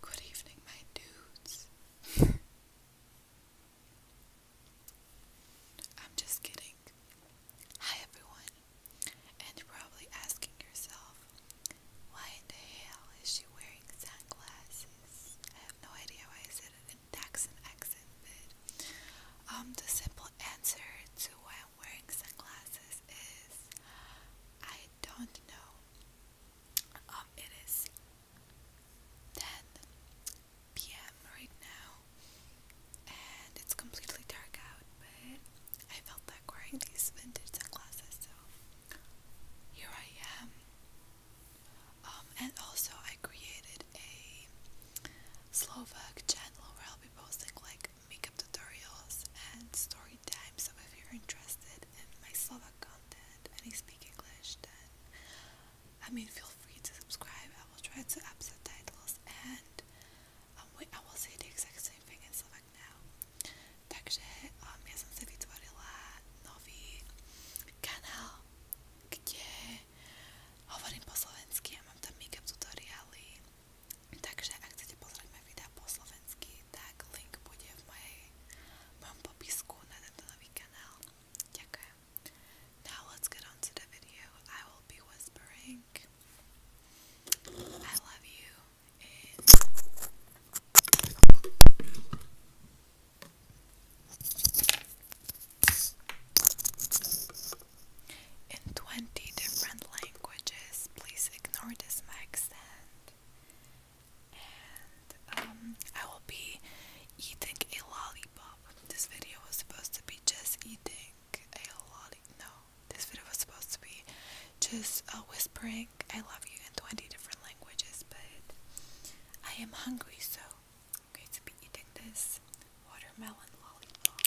Good evening, my dudes. I'm just kidding. Hi, everyone. And you're probably asking yourself, why in the hell is she wearing sunglasses? I have no idea why I in Texan accent, um, the simple answer to why I'm wearing sunglasses is I don't know. Um, it is 10 p.m. right now, and it's completely dark out, but I felt like wearing these vintage sunglasses, so here I am. Um, and also, I created a Slovak channel where I'll be posting like makeup tutorials and story time. So if you're interested in my Slovak content and you speak English, then I mean feel free to subscribe. I will try to up subtitles and um, wait, I will say the exact same thing in Slovak now. Takže um, som si vytvorila nový kanál, kde hovorím po slovensky a mám tam makeup tutoriály Takže ak chcete pozrieť moje videá po slovensky, tak link bude v mojej, v mojom popisku na in 20 different languages. Please ignore this mic and um, I will be eating a lollipop. This video was supposed to be just eating a lollipop. No, this video was supposed to be just uh, whispering I love you in 20 different languages, but I am hungry, so I'm going to be eating this watermelon lollipop.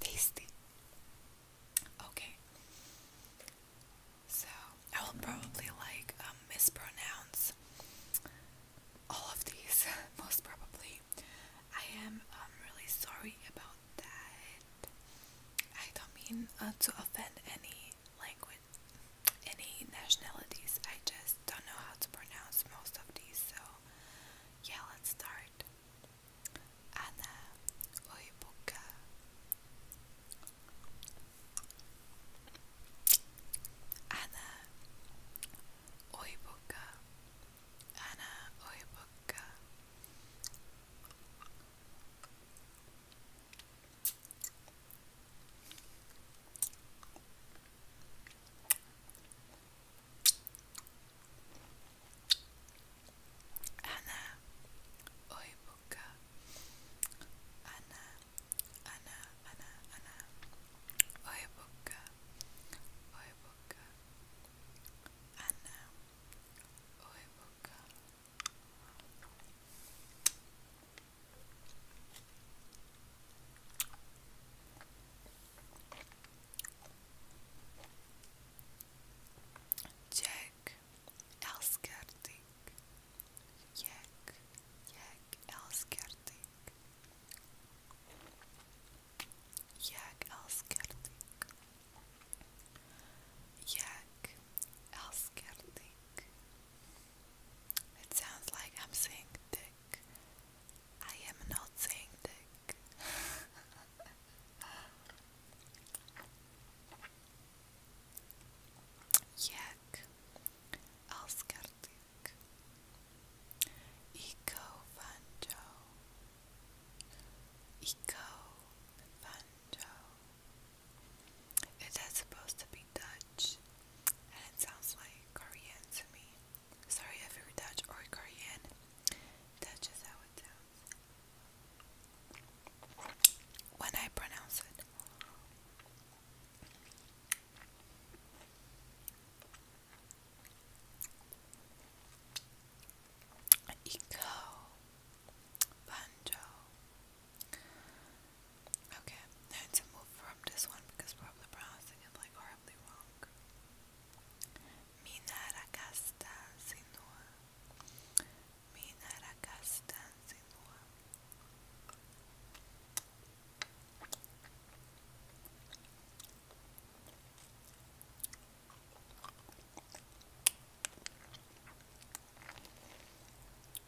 Tasty. Okay. So I will probably like um, mispronounce all of these, most probably. I am um, really sorry about that. I don't mean uh, to offend any language, any nationalities. I just don't know how to pronounce most of these, so yeah, let's start. Ana Oibuka. Ana Oibuka. Ana Oibuka. Ana Anna, oi buka. Anna, Anna, Anna, Anna, oi buka, oi buka. Anna, oi buka. Jack Elskerdik. Jack, Jack Elskerdik. Jack Elskerdik. Jack Elskerdik. It sounds like I'm saying dick. I am not saying dick. Jak Alskartik Eco Vanjo Eco Vanjo It is supposed to be Dutch Dutch, and it sounds like Korean to me. Sorry if you Dutch or Korean. Dutch is how it sounds when I pronounce it. Eco, banjo, Okay, now to move from this one because probably pronouncing it like horribly wrong. Minaracasta Sinua. Minaracasta Sinua.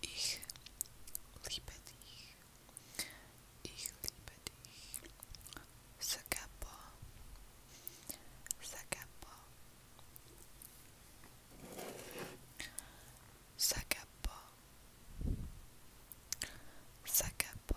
Ich liebe dich. Ich liebe dich. Sagapo. Sagapo. Sagapo. Sagapo.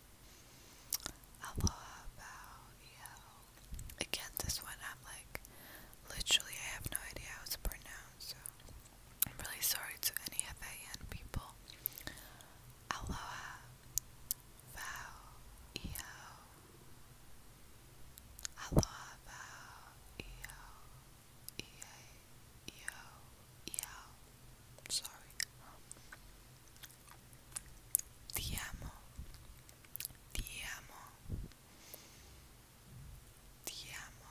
I love how, again, this one I'm like, literally, I have no idea how it's pronounced, so I'm really sorry to any FAN people. Aloha, vow, eo. Aloha, vow, eo, Sorry. Te amo, Te amo, Te amo.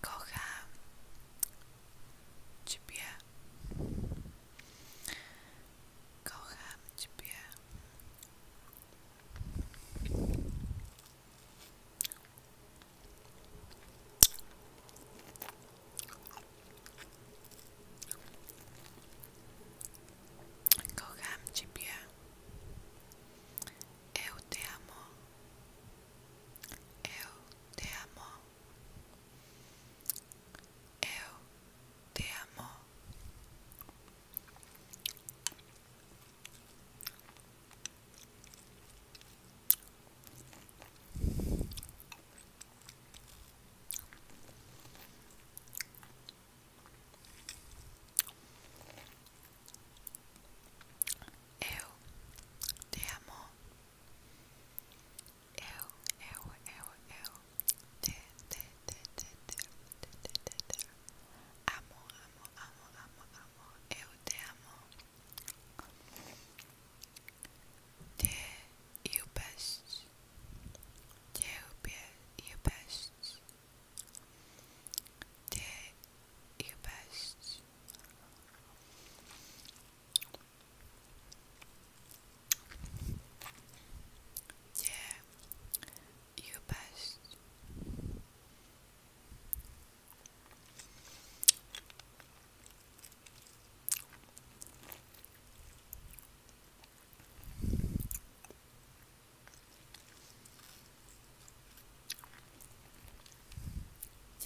Kocham Ciebie. Kocham Ciebie. Kocham Ciebie. Eu te amo. Eu te amo. Eu te amo. Eu te amo. Eu, eu, eu, eu te, te, te, te, te, te, te, te, te. Amo, amo, amo, amo, amo. Eu te amo best. Gdzie jubes? best. jubes? Gdzie best. Gdzie jubes? best.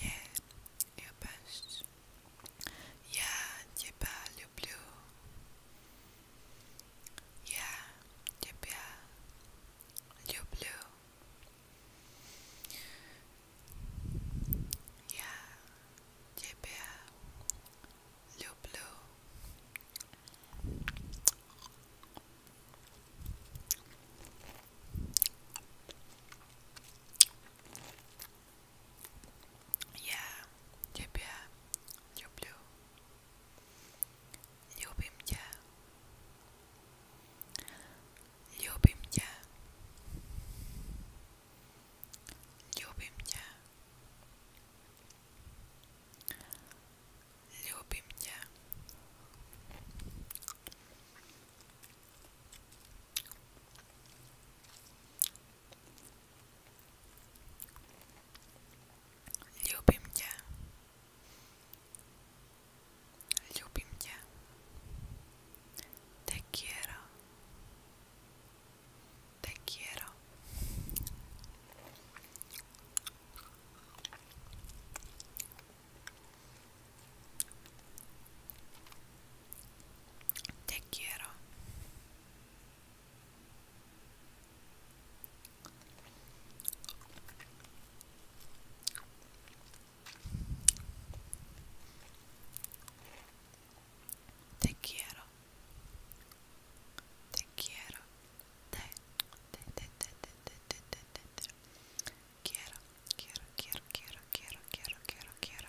Nie, nie bądź. Ja ciebie lubię. Ja ciebie lubię. Yeah, JPL, Blue Blue. Yeah, JPL, Blue Blue. Любим тебя. Ľúbim ťa. Ľúbim ťa. Ľúbim ťa. Ľúbim ťa. Ľúbim ťa. Ljubim tě. Te quiero. Te quiero. Te quiero. Te quiero. Te quiero. Te, te, te, te, te, te, te, te, Quiero, quiero, quiero, quiero, quiero, quiero, quiero, quiero.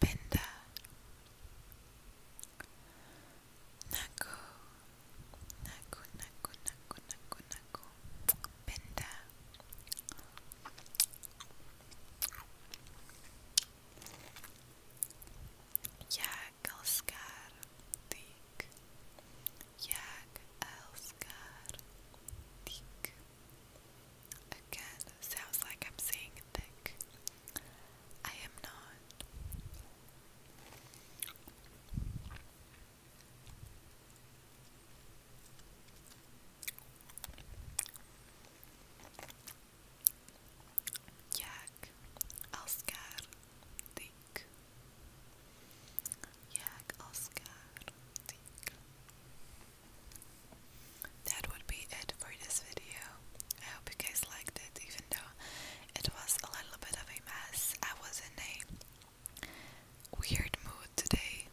Benda, there. Naku, naku, naku, naku, naku, naku, Jag älskar dig. Jag älskar dig. Again, sounds like I'm saying thick. I am not. Jag älskar dig. Jag älskar dig. That would be it for this video. I hope you guys liked it, even though it was a little bit of a mess. I was in a weird mood today.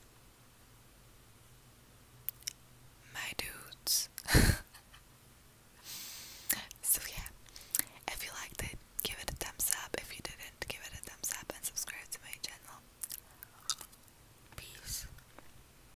My dudes. so, yeah, if you liked it, give it a thumbs up. If you didn't, give it a thumbs up and subscribe to my channel. Peace.